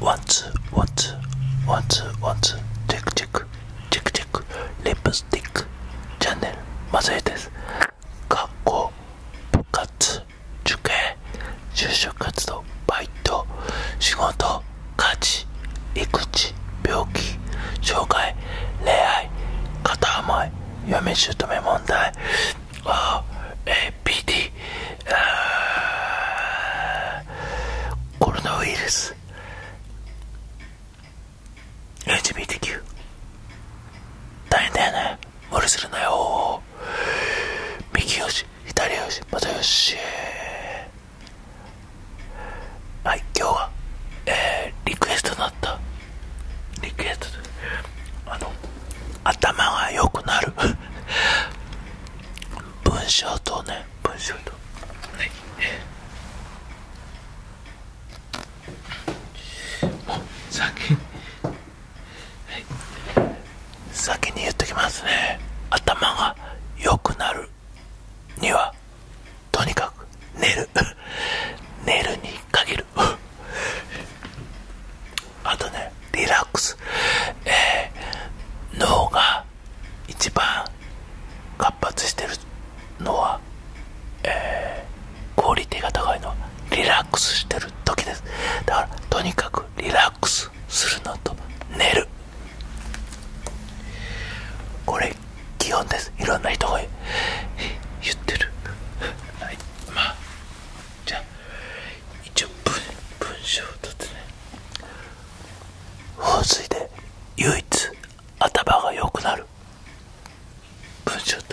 ワンツ t s what's what's w チェックチェックチェックチェックリップスティックチャンネルマズイです学校部活受験就職活動バイト仕事家事育児病気障害恋愛片思い嫁姑問題ああ、PD コロナウイルス LGBTQ 大変だよね無理するなよ右よし左よしまたよしはい今日は、えー、リクエストになったリクエストあの頭が良くなる 文章とね文章とはいもう先に、先に言っときますね頭が良くなるにはとにかく寝る寝るに限るあとねリラックス、えー、脳が一番活発してるのは、えー、クオリティが高いのはリラックスしてる時ですだからとにかくリラックスするのと寝るこれ基本ですいろんな人が言ってるはいまあじゃあ一応文章をとってね放水で唯一頭が良くなる文章と。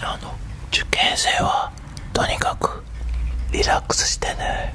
あの受験生はとにかくリラックスしてね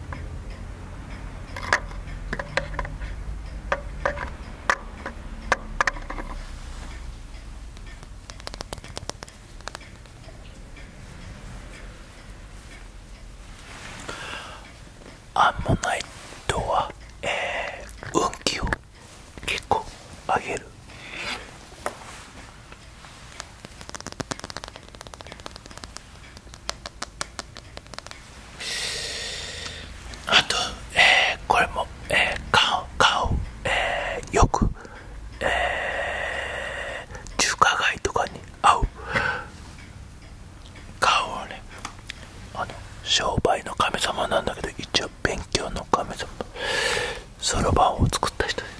アンモナイトは、え運気を結構上げるあと、えこれも、えー、顔顔、えよく、え中華街とかに合う顔はねあの商売の神様なんだけど一応勉強の神様そろばんを作った人です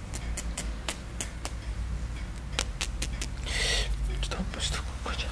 ストップストップじゃん。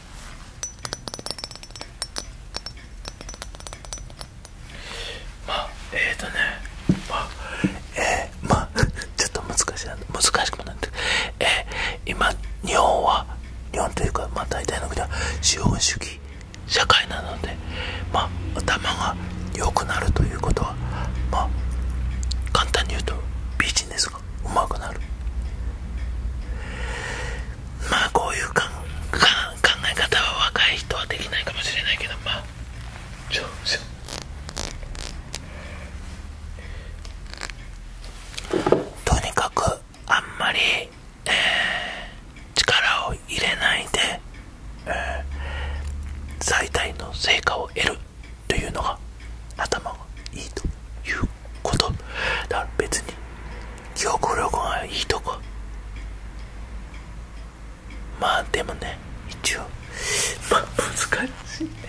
まあえっ、とねまあえー、まあ ちょっと難しい難しくもなってえ今日本は日本というかまあ大体の国は資本主義社会なのでまあ頭が良くなるということはまあ簡単に言うとビジです。がうまくなるまあこういう考え方は若い人はできないかもしれないけどまあとにかくあんまり、力を入れないで、最大の成果を得るというのが頭がいいということだから別に記憶力がいいとかまあでもね一応まあ難しいね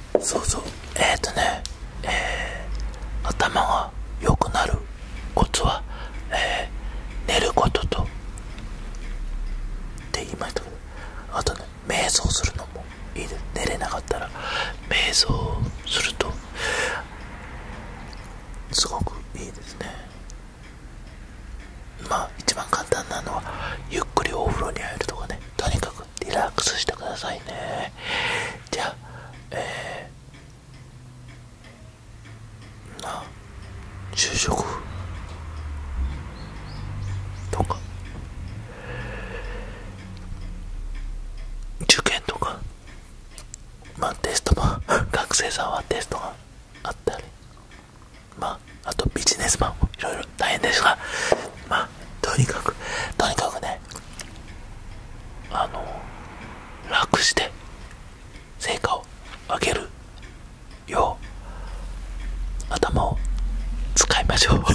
そうそうえっ、とねえ頭が良くなるコツは、え寝ることとって言いましたけどあとね瞑想するのもいいです寝れなかったら瞑想するとすごくいいですねまあ一番簡単なのはゆっくりお風呂に入るとかねとにかくリラックスしてくださいねじゃあえー、な就職とか受験とかまあテストも 学生さんはテストがあったりまああとビジネスマンもいろいろ大変ですがまあとにかくとにかくねあの楽して成果を上げるよう頭を使いましょう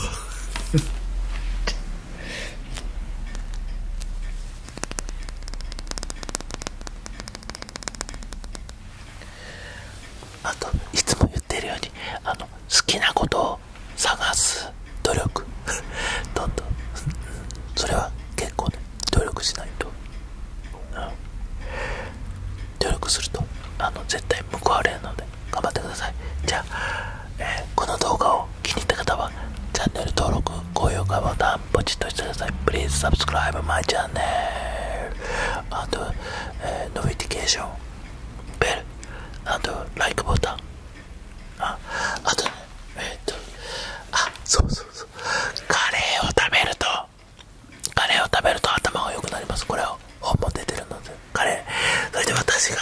あといつも言ってるようにあの好きなことを探す努力 どんどんそれは結構ね努力しないと、努力するとあの絶対報われるので頑張ってくださいじゃあ、えこの動画を気に入った方はチャンネル登録高評価ボタンポチッとしてください Please subscribe my channel あと、えノビティケーションベルあと Like ボタンああとねえっとあそうそうそうカレーを食べるとカレーを食べると頭が良くなりますこれを本も出てるのでカレーそれで私が、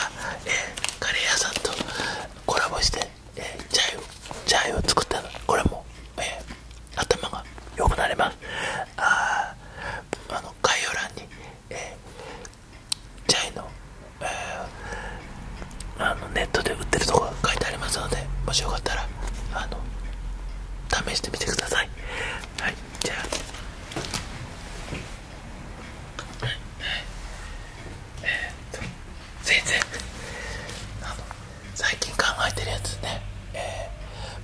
えカレー屋さんとコラボして、えー、チャイをチャイを作ったのこれも、え頭が良くなりますああの概要欄に、えー、チャイの、あのネットで売ってるとこが書いてありますのでもしよかったらあの試してみてくださいはいじゃあはえっと全然あの最近考えてるやつねえ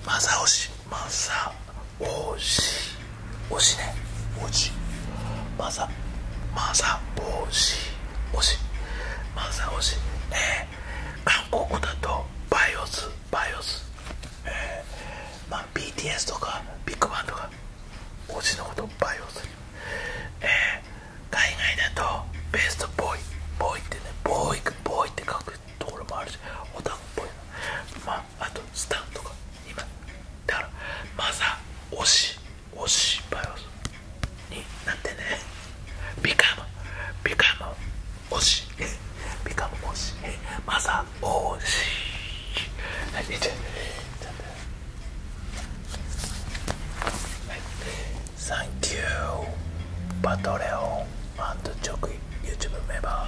ー、マサオシマサおしおしねおしまさまさおしおしまさおしえー、韓国だとバイオスバイオスえー、まあ BTS とかビッグバンとかおしのことバイオスえー、海外だとベストボーイボーイってねボーイボーイって書くところもあるしオタクっぽいまああとスタンとか今だからマずは推し推しバイオスになってねビカムビカムオシ、ビカム推しまずオ推しはいいっちゃはいサンキューバトレオンアンドチョク YouTube メンバー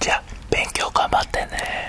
じゃあ勉強頑張ってね